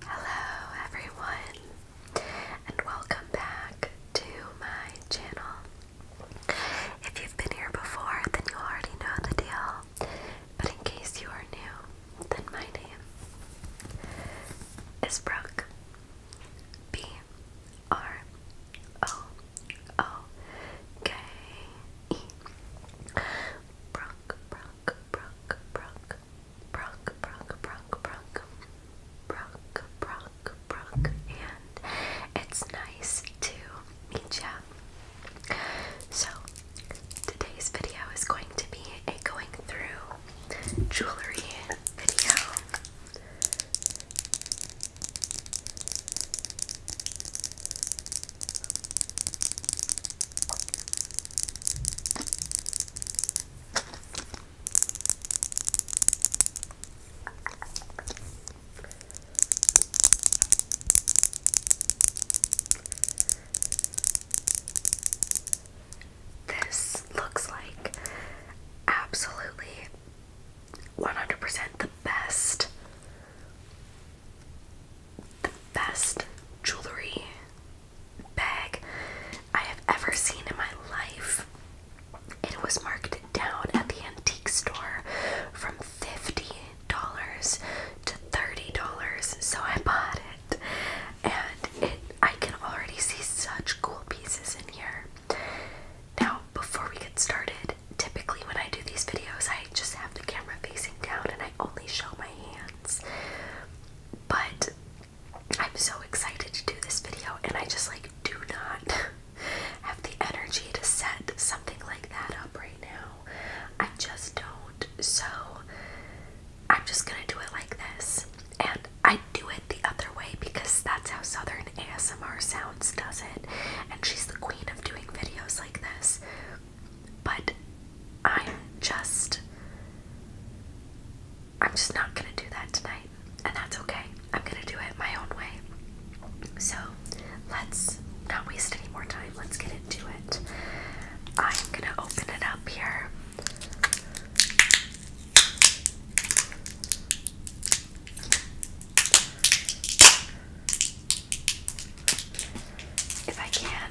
Hello everyone and welcome back to my channel. If you've been here before then you already know the deal, but in case you are new, then my name is Brooke. B R O O K E Brooke Brooke Brooke Brooke Brock, Brock, Brock, Brock, Brock, Brock, Brock, and it's nice to meet ya. So, today's video is going to be a going through jewelry video. This looks like absolutely 100% the best the best jewelry bag I have ever seen in my life. It was marked down at the antique store from $50 to $30, so I bought it. And it I can already see such cool pieces in here. Now, before we get started, typically when I do these videos, I just have the camera facing down and I only show my hands. But I'm so excited to do this video, and I just like do not have the energy to set something like that up right now. I just don't. So I'm just gonna do it like this. And I do it the other way because that's how Southern ASMR Sounds does it. And she's the queen of doing videos like this. But I'm just I'm just not gonna do that tonight. And that's okay. I'm gonna do it my own way. So let's not waste any more time. Let's get into it. I'm gonna open it up here. If I can,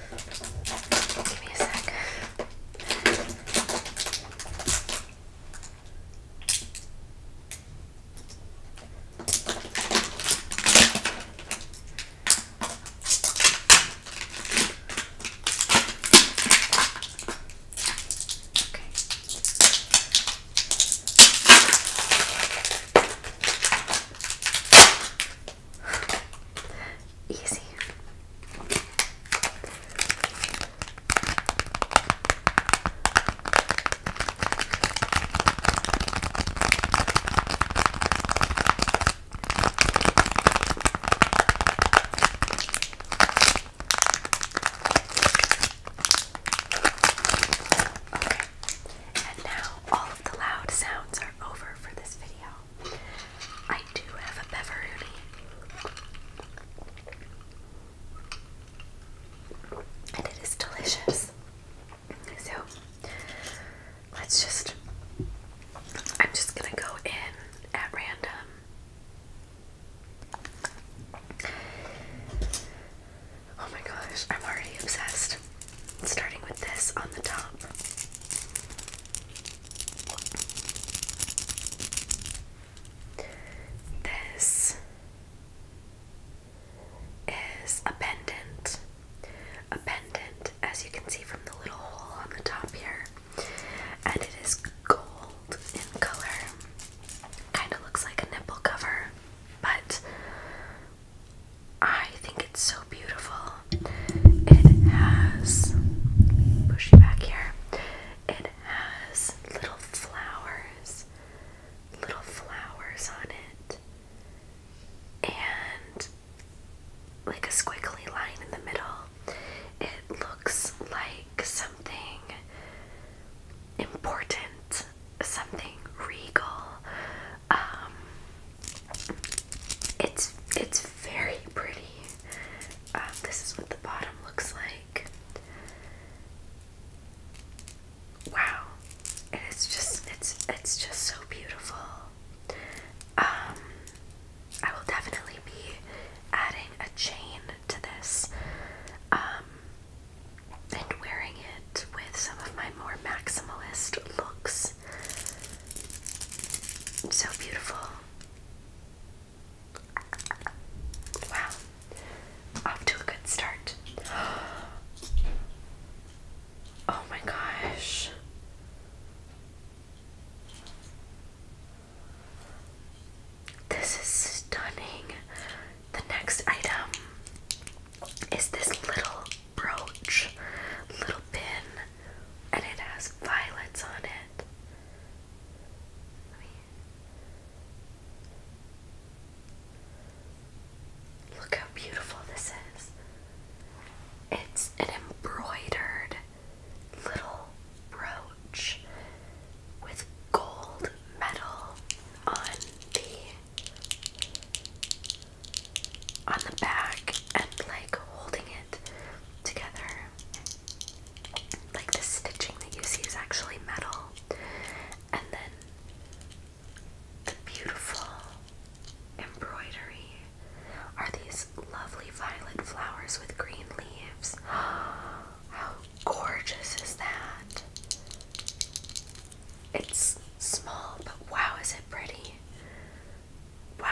Give me a sec. Okay. Easy. And now all of the loud sounds are over for this video. I do have a beveroni. And it is delicious. So let's just I'm just gonna go in at random. Oh my gosh, I'm already obsessed starting with this on the top. This is a pendant. A pendant, as you can see from the little hole on the top here, and it is gold in color. Kind of looks like a nipple cover, but I think it's so beautiful. It has, push you back here, it has little flowers, little flowers on it, and like a squiggly line in the middle. It looks like something important, something regal. Um, it's it's very pretty. Um, this is what the bottom looks like. Wow, and it's just it's it's just so beautiful. Um, I will definitely be adding a chain to this, um, and wearing it with some of my more maximalist looks. So beautiful. Wow. Off to a good start. Oh my gosh. This is stunning. The next item is this little brooch, little pin, and it has violets on it. Look how beautiful this is. It's an embroidered little brooch with gold metal on the on the back and like holding it together. Like the stitching that you see is actually metal. And then the beautiful embroidery are these lovely violet flowers with green leaves. How gorgeous is that? It's small, but wow, is it pretty! Wow.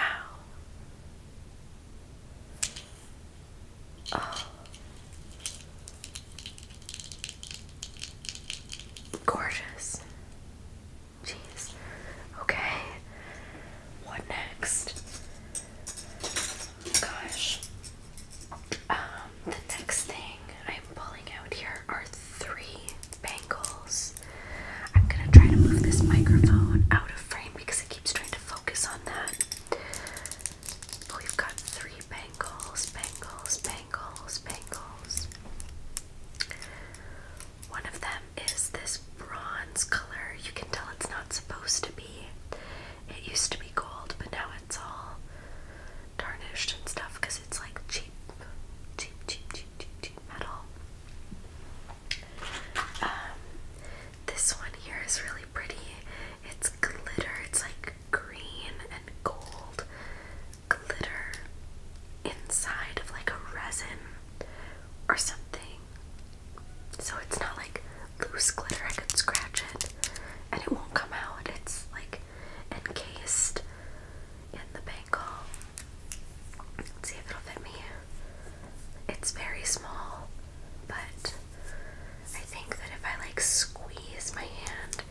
Oh. Gorgeous. Jeez. Okay. What next? Gosh. Um, the next thing I'm pulling out here are three bangles. I'm gonna try to move this microphone out of frame because it keeps trying to focus on that. We've got three bangles, bangles, bangles, bangles. One of them is this bronze color. You can tell it's not supposed to be. It used to be gold, but now it's all tarnished and stuff because it's like cheap, cheap, cheap, cheap, cheap, metal. Um, this one here is really pretty. It's glitter. It's like green and gold glitter inside of like a resin or something. So it's not like loose glitter. I could scratch it and it won't come out. It's like encased in the bangle. Let's see if it'll fit me. It's very small, but I think that if I like squeeze my hand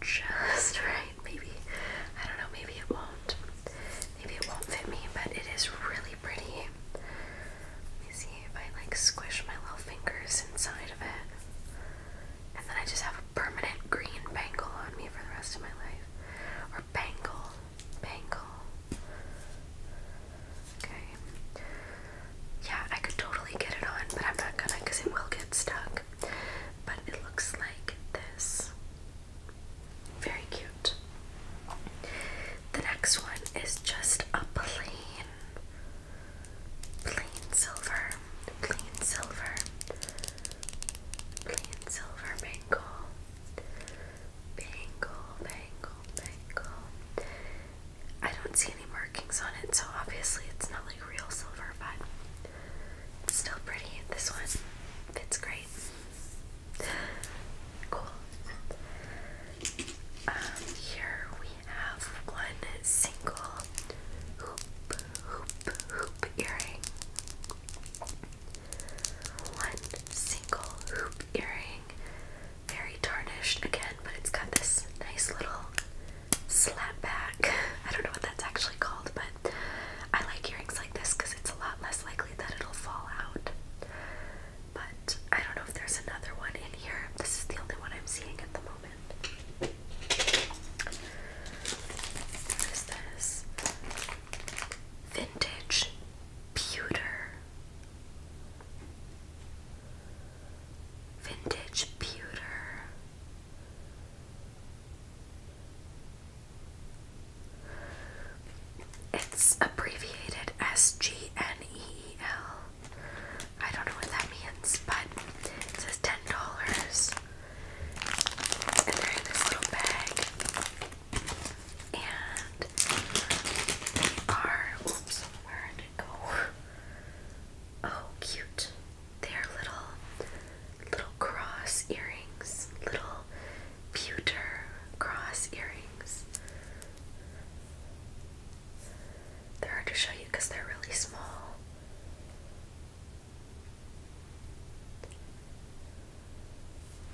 just right, maybe, I don't know, maybe it won't. Maybe it won't fit me, but it is really pretty. Let me see if I like squish my little fingers inside of it. And then I just have a permanent green bangle on me for the rest of my life. Or bangle bangle. Okay. Yeah, I could totally get it on, but I'm not gonna because it will get stuck. But it looks like this. Very cute. The next one is just a plain, plain silver, plain silver, plain silver bangle. Bangle, bangle, bangle. I don't see any markings on it, so obviously it's not like real silver, but it's still pretty. This one fits great. Cool. Um, here we have one single hoop, hoop, hoop earring one single hoop earring. Very tarnished again, but it's got this nice little slap I don't know what that's actually called, but I like earrings like this because it's a lot less likely that it'll fall out. But I don't know if there's another one in here. This is the only one I'm seeing at the moment. What is this? vintage pewter. Vintage pewter. It's abbreviated as G N E E L. I don't know what that means, but it says ten dollars. And they this little bag. And they are, oops, where go? Oh, cute. They're little, little cross earrings, little pewter cross earrings. They're hard to show you because they're really small.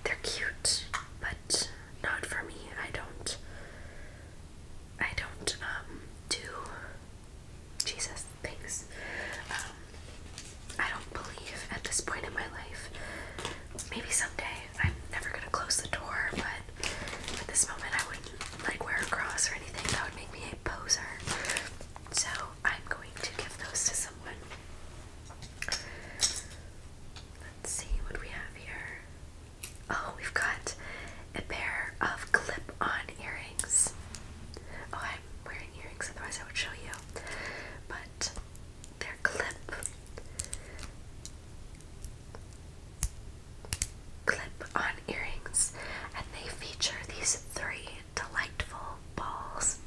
They're cute, but not for me. I don't. I don't um do Jesus things. Um, I don't believe at this point in my life. Maybe someday I'm never gonna close the door, but at this moment I wouldn't like wear a cross or anything. That would make me a poser. So I'm going to give those to someone. Let's see what we have here. Oh, we've got a pair of clip on earrings. Oh, I'm wearing earrings, otherwise, I would show you. But they're clip. Clip on earrings, and they feature these three delightful balls.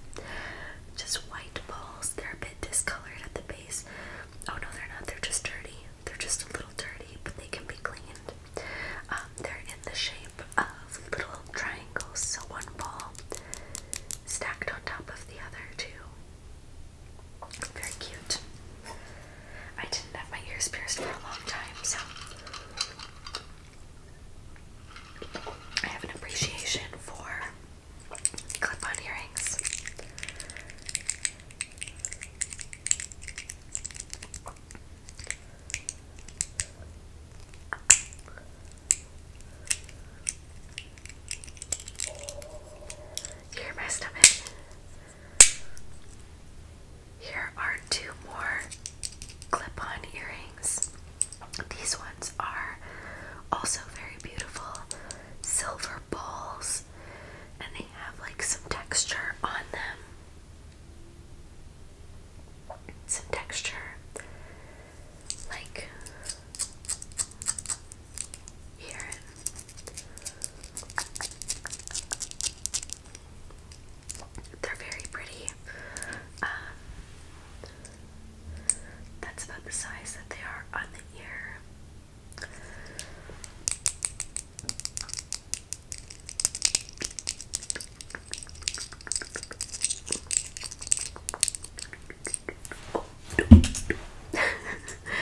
Just white balls. They're a bit discolored at the base. Oh no, they're not. They're just dirty. They're just a little dirty, but they can be cleaned. Um, they're in the shape of little triangles, so one ball stacked on top of the other two. Very cute. I didn't have my ears pierced for a long time, so I have an appreciation for clip on earrings. You my stomach? Here are two more clip on earrings. These ones are also very beautiful silver balls, and they have like some texture on them. Some texture, like here. They're very pretty. Um, that's about the size that they are on the ear.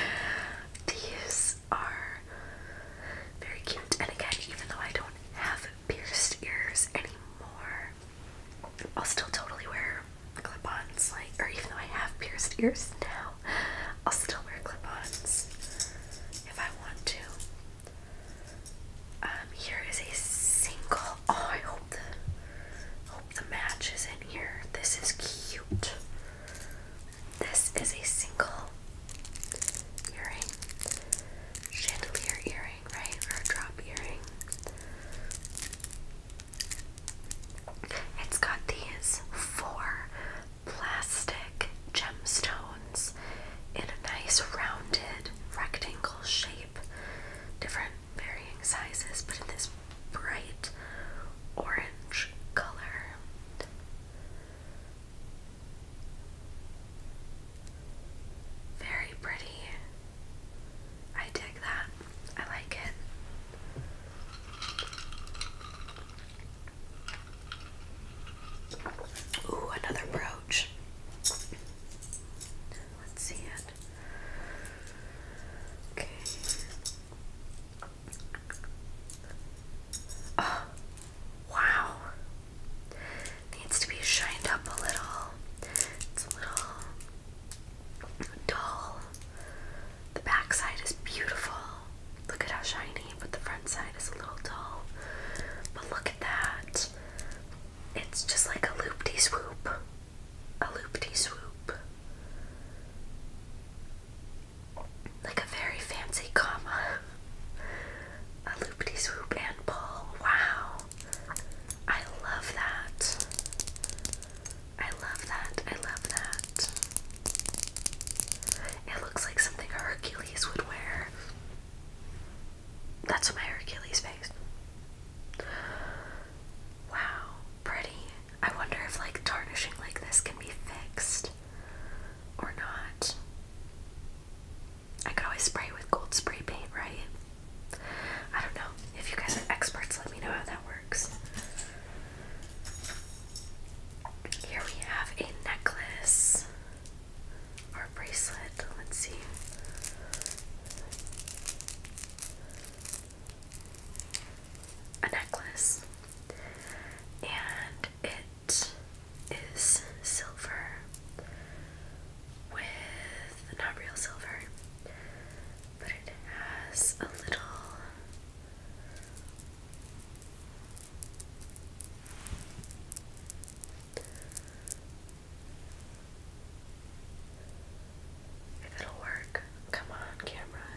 These are very cute, and again, even though I don't have pierced ears anymore, I'll still totally wear clip-ons, like, or even though I have pierced ears now, I'll still wear clip-ons if I want to. Um, here is a single. Oh, I hope the hope the match is in here. This is cute. This is a single earring, chandelier earring, right, or a drop earring. It's got these four plastic gemstones in a nice rounded rectangle shape, different varying sizes, but in this bright orange color. Very pretty. I dig that. I like it. Ooh, another brooch. Let's see it. Okay. Oh, wow. Needs to be shined up a little. It's a little dull. The backside is beautiful. Look at how shiny, but the front side is a little dull. But look at that. It's just like a loop de swoop. A loop de swoop. Like a very fancy comma. A loop de swoop and pull. Wow. I love that. I love that. I love that. It looks like something Hercules would wear. That's my Hercules face. Wow, pretty. I wonder if like tarnishing like this can be fixed or not. I could always spray with gold spray paint, right? I don't know. If you guys are experts, let me know how that works. Here we have a necklace or a bracelet. Let's see. A necklace. And it is silver with not real silver but it has a little if it'll work. Come on, camera.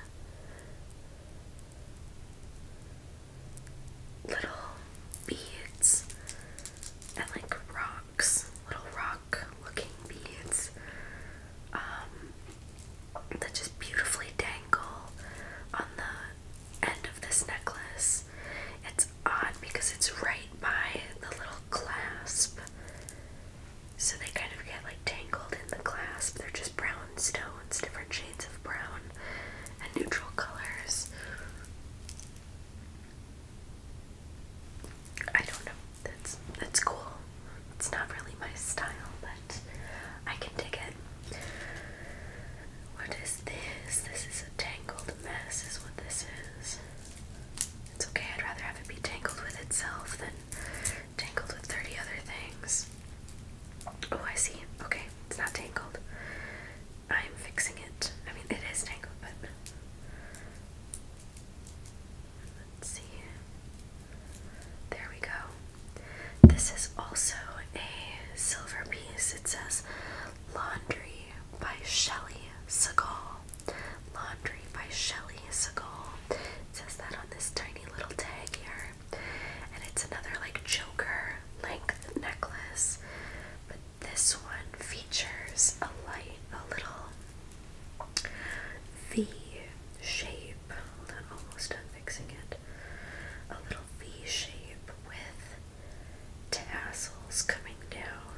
Little beads and like rocks, little rock looking beads um, that just beautifully dangle on the end of this necklace. It's odd because it's right by the little clasp, so they kind of get like tangled in the clasp. They're just brown stones, different shades of brown and neutral colors. I don't know. That's that's cool. It's not really my style, but I can dig it. What is this? This is a tangled mess is what this is. It's okay, I'd rather have it be tangled with itself than tangled with 30 other things. Oh, I see. Okay, it's not tangled. I'm fixing it. I mean, it is tangled, but. Let's see. There we go. This is also a silver piece. It says Laundry by Shelley Segal. Laundry by Shelley Segal. says that on this tiny little tag here. And it's another like Joker length necklace. But this one features a light, a little V shape, I'm almost done fixing it. A little V shape with tassels coming down.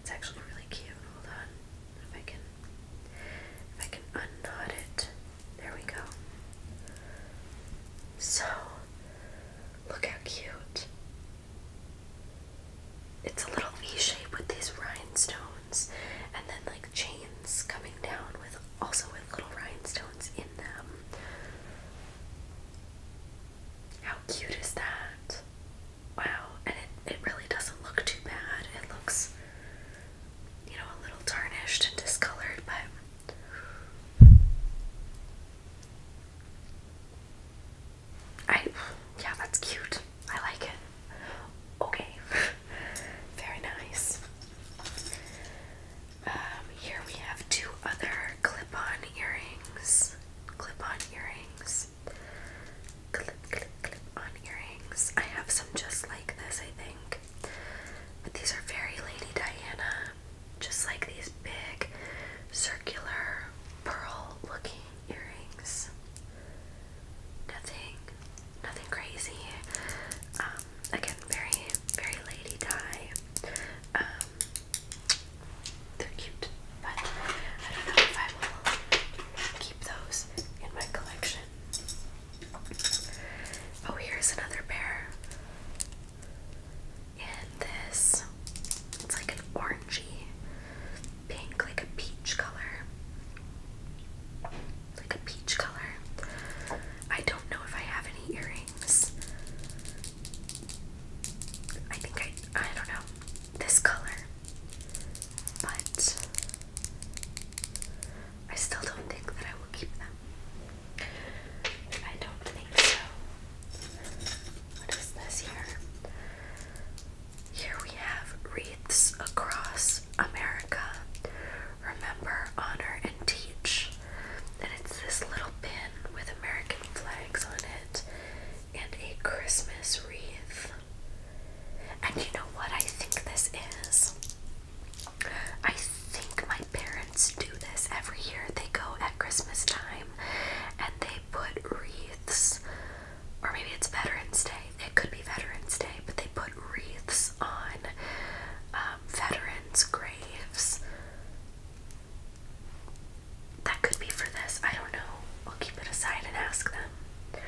It's actually really cute. Hold on, if I can, if I can unknot it. There we go. So, look how cute. It's a little V shape with these rhinestones and then like chains coming down with also with little rhinestones in them. How cute is that? Wow, and it, it really doesn't look too bad. It looks, you know, a little tarnished and discolored, but I, yeah, that's cute. I like it. Okay, very nice. Um, here we have two other clip-on earrings. Clip-on earrings. Clip, clip, clip-on earrings. I have some just like this, I think. But these are very Lady Diana. Just like these big circular pearl looking earrings. Nothing nothing crazy. Um, again, very, very lady tie. Um, they're cute, but I don't know if I will keep those in my collection. Oh, here's another pair. And this, it's like an orangey pink, like a peach color. Like a peach color. I don't know if I have any earrings. I think I, I don't know, this color. But I still don't think that I will keep them. I don't think so. What is this here? Here we have wreaths across America. Remember, honor, and teach. And it's this little pin with American flags on it and a Christmas wreath. And you know what I think this is? I think my parents do this every year. They go at Christmas time and they put wreaths or maybe it's Veterans Day. It could be Veterans Day, but they put wreaths on um, veterans' graves. That could be for this. I don't know. We'll keep it aside and ask them.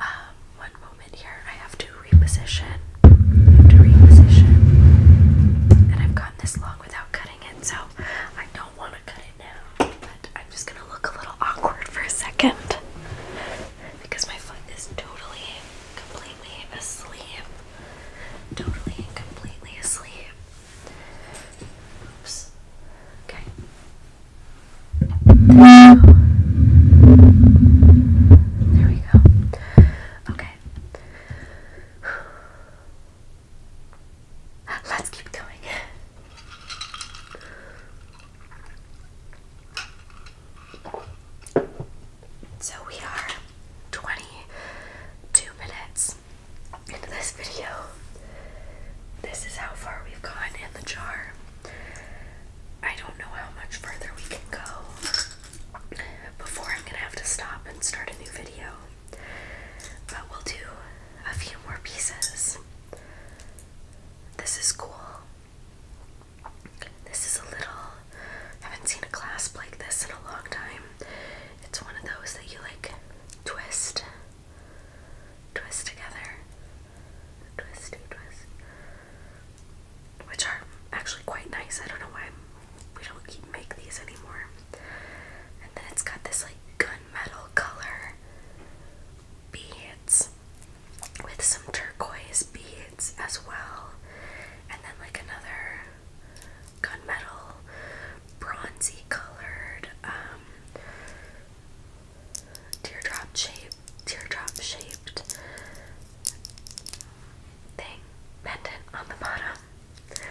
Um, one moment here. I have to reposition. I have to reposition. And I've gone this long without cutting it, so I don't want to cut it now. But I'm just going to look a little awkward for a second because my foot is totally, completely asleep. Totally and completely asleep. Oops. Okay. There we go. Okay. Let's keep going. So we are 22 minutes into this video. This is how far we've gone in the jar. I don't know how much further we can go before I'm gonna have to stop and start a new video. But we'll do a few more pieces. This is cool. This is a little, haven't seen a clasp like this in a long time. It's one of those that you like twist, twist together, twist, twist, which are actually quite nice. I don't know why we don't keep make these anymore. And then it's got this like gunmetal color beads with some turquoise beads as well, and then like another gunmetal bronzy colored um, teardrop shaped teardrop shaped thing pendant on the bottom.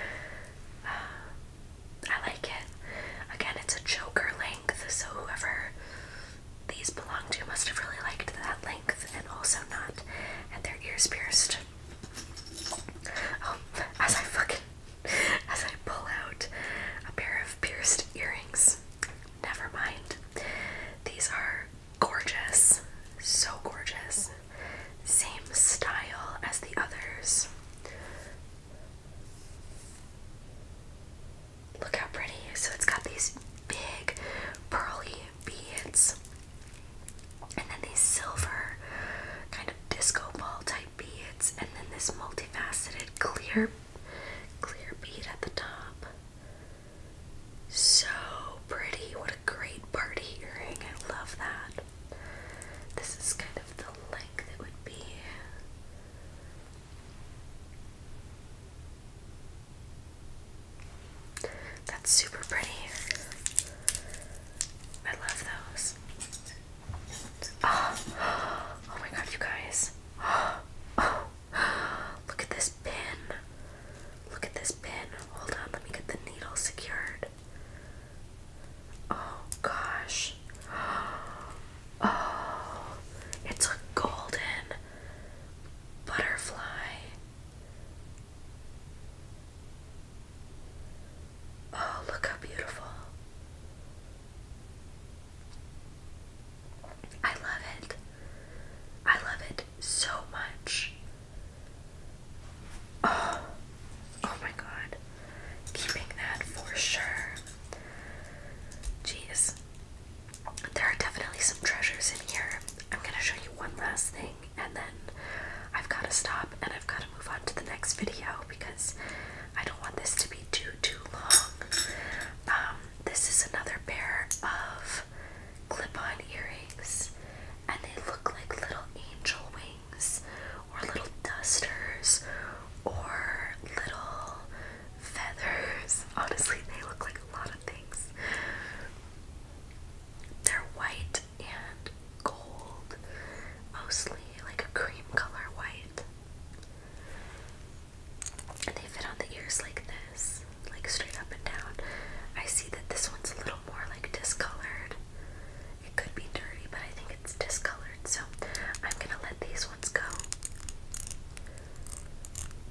Uh, I like it. Again, it's a choker length, so whoever these belong to must have really liked that length and also not had their ears pierced. Oh, as I fucking as I pull out a pair of pierced earrings. Never mind. These are gorgeous. So gorgeous. Same style as the others. Look how pretty. So it's got these big pearly beads and then these silver kind of disco ball type beads and then this multifaceted clear clear bead at the top. So pretty. What a great party earring. I love that. This is kind of the length it would be. That's super pretty. I love those. Ah. Oh, my god, you guys. oh, look at this pin. Look at this pin. Hold on, let me get the needle secured. Oh gosh. Oh, it's a golden butterfly. Oh, look how beautiful. I love it. I love it so much. Oh, oh my god. Keeping that for sure. Jeez there are definitely some treasures in here. I'm going to show you one last thing and then I've got to stop and I've got to move on to the next video because I don't want this to be too, too long. Um, this is another pair of clip-on earrings and they look like little angel wings or little dusters or little feathers. Honestly, they look like a lot of things. They're white and gold, mostly like a cream color white. And they fit on the ears like this, like straight up and down. I see that this one's a little more like discolored. It could be dirty, but I think it's discolored, so I'm gonna let these ones go.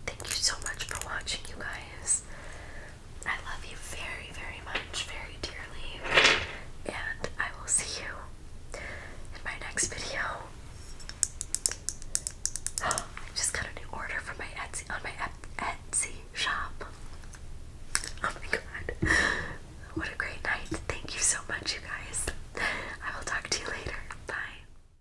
Thank you so much for watching, you guys. I love you very, very much, very dearly. And I will see you in my next video. I just got a new order from my Etsy on my Etsy shop. Oh my god. What a great night. Thank you so much, you guys. I will talk to you later. Bye.